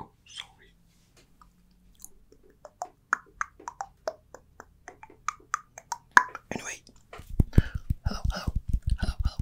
Oh, sorry. Anyway, hello, hello, hello, hello, hello,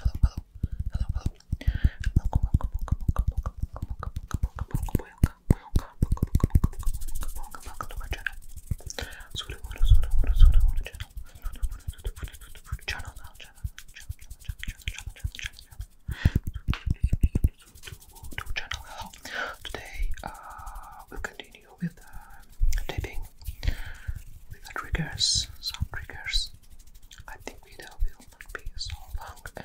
hello, hello, hello. Welcome, welcome, welcome, welcome, welcome back to my channel. Sorry, sorry, sorry, sorry, sorry, channel. Channel, channel, channel, channel, channel, channel, channel, channel, to channel. Hello. Today, uh, we'll continue with the uh, taping with the triggers. Some triggers. I think video will not be so long and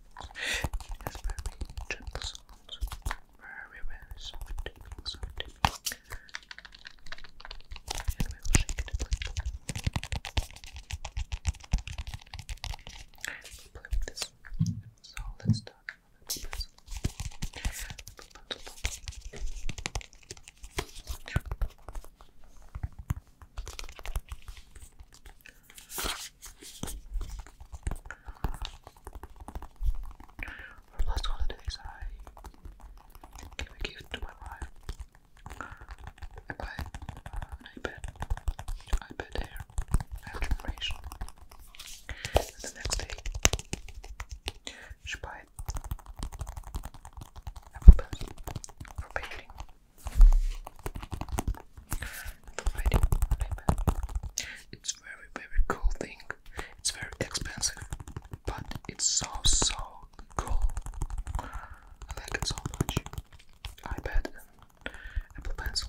It has very gentle sounds. Very, very soft And we will shake it a play this. So let's start for the last holidays, I gave a gift to my wife. I bought an iPad, iPad Air, the next day, she bought apple pencil for it's very very cool thing. It's very expensive, but it's so so cool. I like it so much. iPad and Apple Pencil.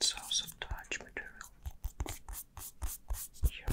Sounds of touch material. Yeah.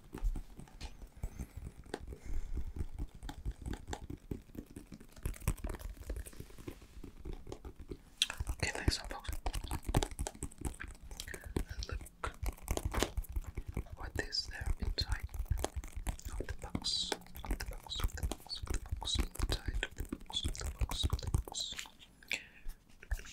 Okay, thanks, folks. look what is there inside of the box, of the box, of the box, of the box, inside of the box, of the box. Of the box.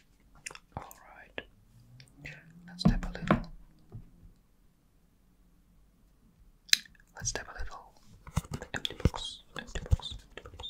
All right, let's tap a little. Let's tap a little. empty box, empty box, empty box.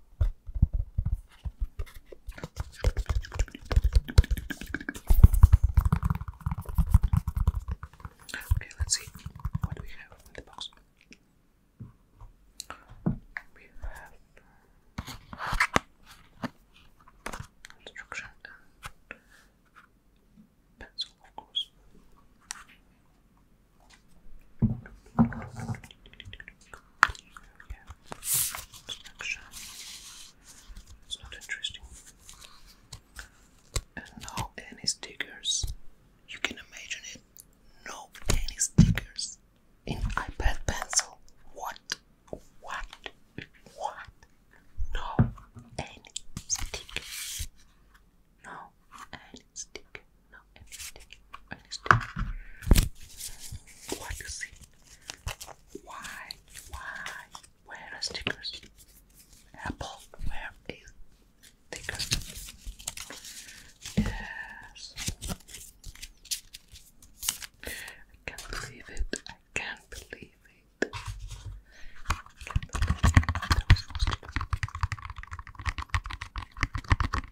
Okay, let's see. What we have in the box? We have instruction uh, pencil, of course yeah, construction. It's not interesting. And no any stickers. You can imagine it. No any stickers in iPad pencil. What? What? What? No any stickers. No any sticker. No any sticker understand what is it? Why? Why? Where stickers? Apple, where is stickers? Yes. I can't believe it. I can't believe it.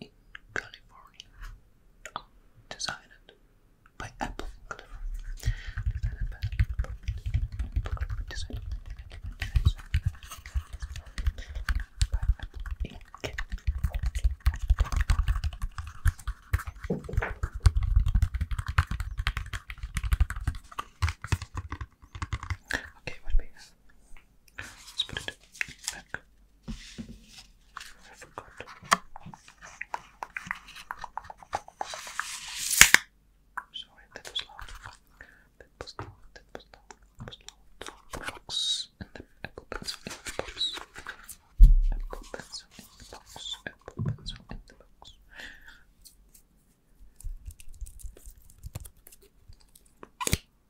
in California. Oh, designed by Apple Okay, what we Let's put it back. I forgot. Sorry, that was loud. That was loud, that was loud, Box and the apple pencil in the box. Apple pencil in the box. Apple pencil in the box.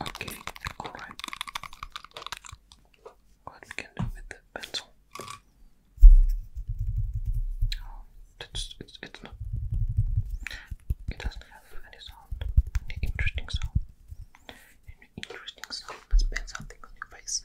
Okay, alright. What we do with the pencil? Oh, it's, it's, it's not. It doesn't have any sound, any interesting sound. Any interesting sound. Let's paint something on your face.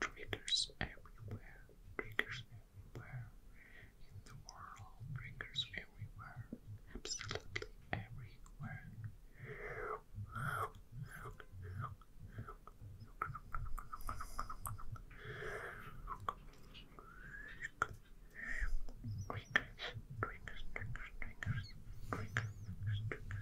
Triggers everywhere, triggers everywhere, in the world, triggers everywhere, absolutely everywhere. Triggers, triggers, triggers, triggers, triggers, triggers,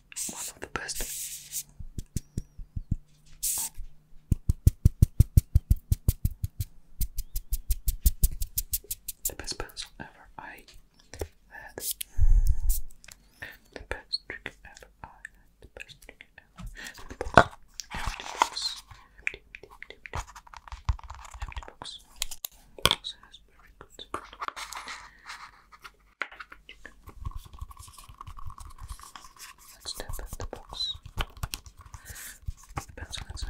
one of the best. The best pencil ever I had. The best trick ever I The best trick ever. Empty box. Empty box. Empty, empty, empty. Empty box. Box has very good. Let's tap at the box. Put the pencil inside.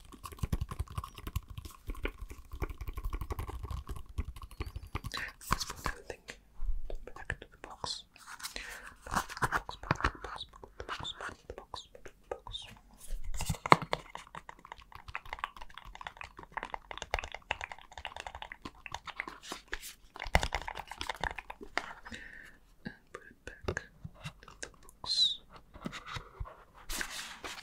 This was everything back to the box. Back to the box, box, box, box, box. box.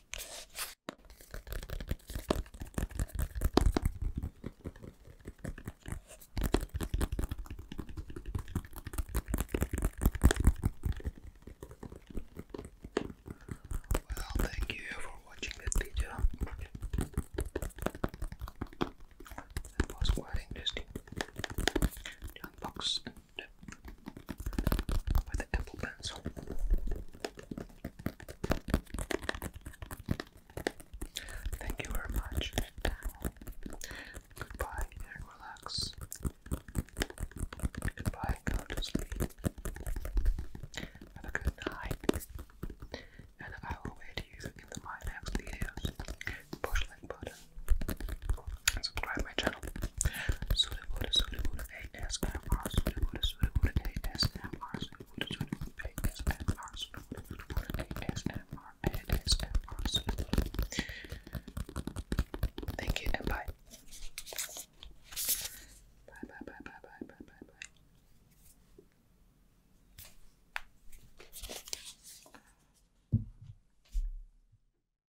Well, thank you for watching this video. That was quite interesting. unbox Thank you very much. Goodbye and relax. Goodbye, go to sleep. Have a good night. And I will wait you in my next videos. Push like button subscribe my channel channel. Sulebuda, Sulebuda, ASMR, Sulebuda, Sulebuda, ASMR, Sulebuda, Sulebuda, ASMR, Sulebuda, Sulebuda, ASMR, ASMR, Thank you and bye. Bye, bye, bye, bye, bye, bye, bye, bye.